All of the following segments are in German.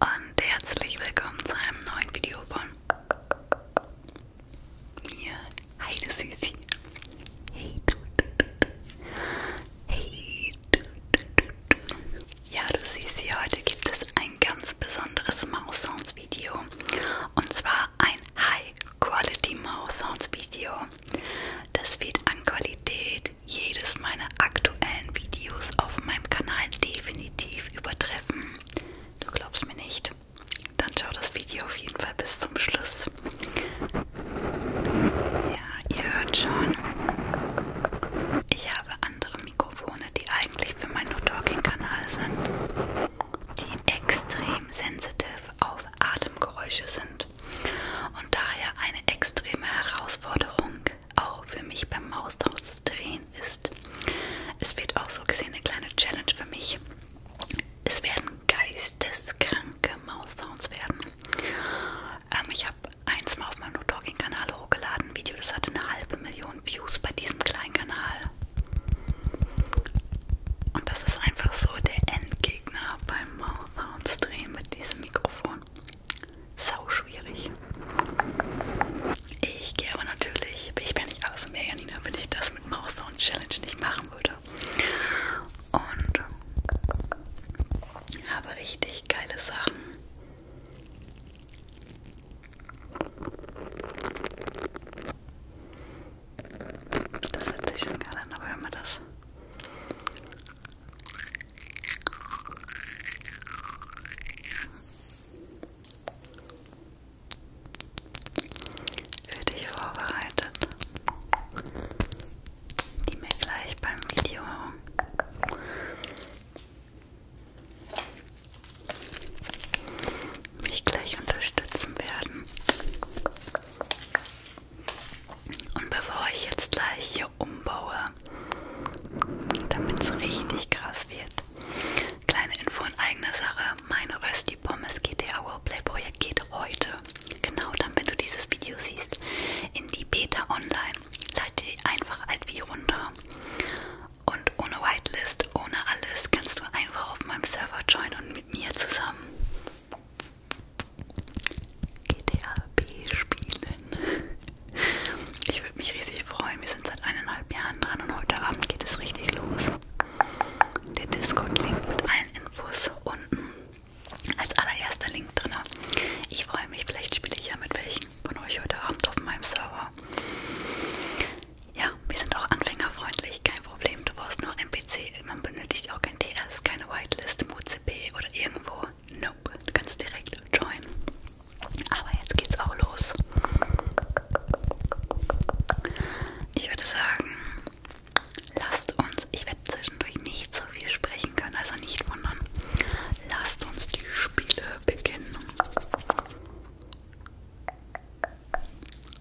Und herzlich willkommen zu einem neuen Video von mir, Heide Süßi. Hey du, hey du, ja du siehst hier, heute gibt es ein ganz besonderes Maus Sounds Video und zwar ein High Quality Maus Sounds Video. Das wird an Qualität jedes meiner aktuellen Videos auf meinem Kanal definitiv übertreffen. Du glaubst mir nicht? Dann schau das Video auf jeden Fall bis zum Schluss. Ja, ihr hört schon. Ich habe andere Mikrofone, die eigentlich für meinen No-Talking-Kanal sind, die extrem sensitiv auf Atemgeräusche sind kommt. Und daher eine extreme Herausforderung auch für mich beim Maushausdrehen ist. Es wird auch so gesehen eine kleine Challenge für mich. Es werden geisteskranke Maussounds werden. Ähm, ich habe eins mal auf meinem No-Talking-Kanal hochgeladen. Ein Video, das hatte eine halbe Million Views bei diesem kleinen Kanal. Und das ist einfach so der Endgegner beim Mouth-Sounds drehen mit diesem Mikrofon. Sau schwierig. Ich gehe aber natürlich, ich bin nicht alles mehr Janina, wenn ich das mit Mouth-Sound Challenge nicht machen würde. Und ähm, habe richtig geile Sachen. Das hört sich schon geil an, aber hör mal das. Für dich vorbereitet, die mir gleich beim Video mich gleich unterstützen werden. Und bevor ich jetzt gleich hier umbaue, damit es richtig krass wird, kleine Info in eigener Sache, meine Rösti Pommes GTA Roleplay Projekt geht heute, genau dann, wenn du dieses Video siehst, in die Beta Online. Leite die einfach alt wie runter und ohne Whitelist, ohne alles kannst du einfach auf meinem Server joinen und mit mir zusammen GTA B spielen. Ich würde mich riesig freuen. Wir sind seit eineinhalb Jahren dran und heute Abend geht es richtig los. Der Discord-Link mit allen Infos unten als allererster Link drin. Ich freue mich, vielleicht spiele ich ja mit welchen von euch heute Abend auf meinem Server. Ja, wir sind auch anfängerfreundlich, kein Problem. Du brauchst nur ein PC, man benötigt auch kein DS, keine Whitelist, MoCP oder irgendwo. Nope, du kannst direkt join. Aber jetzt geht's auch los. Ich würde sagen, lasst uns, ich werde zwischendurch nicht so viel sprechen können, also nicht wundern. Lasst uns die Spiele beginnen.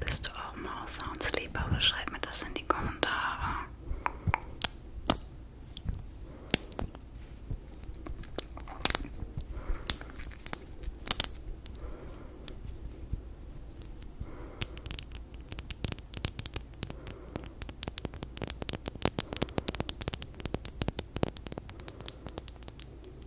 Bist du auch Maus Sounds Liebhaber? Schreib mir das in die Kommentare. Hm.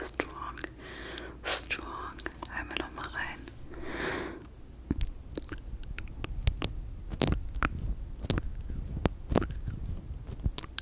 Strong, strong. Hören wir noch mal rein.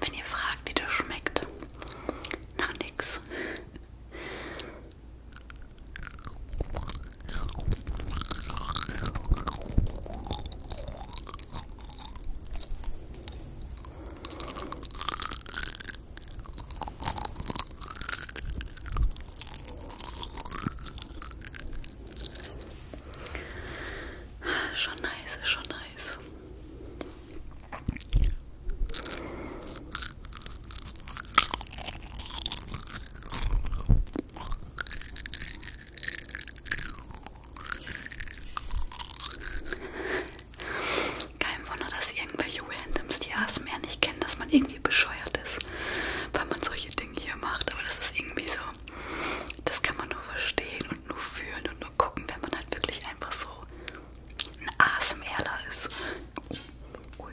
Wenn ihr fragt, wie das schmeckt, nach nix. Schon nice, schon nice. Kein Wunder, dass irgendwelche Randoms die ASMR nicht kennen, dass man irgendwie bescheuert ist, weil man solche Ding hier macht, aber das ist irgendwie so, das kann man nur verstehen und nur fühlen und nur gucken, wenn man halt wirklich einfach so ein ASMRler ist. Ui.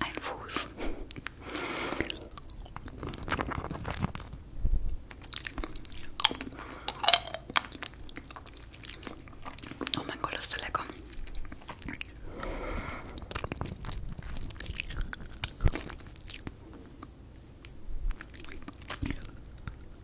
Ein Fuß. Oh mein Gott, ist der lecker.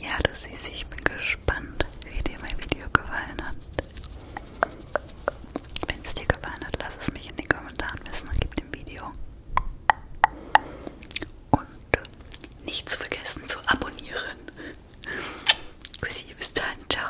Ja, du siehst, ich bin gespannt, wie dir mein Video gefallen hat. Wenn es dir gefallen hat, lass es mich in den Kommentaren wissen und gib dem Video. Und nicht zu vergessen zu abonnieren. Kussi, bis dann, ciao.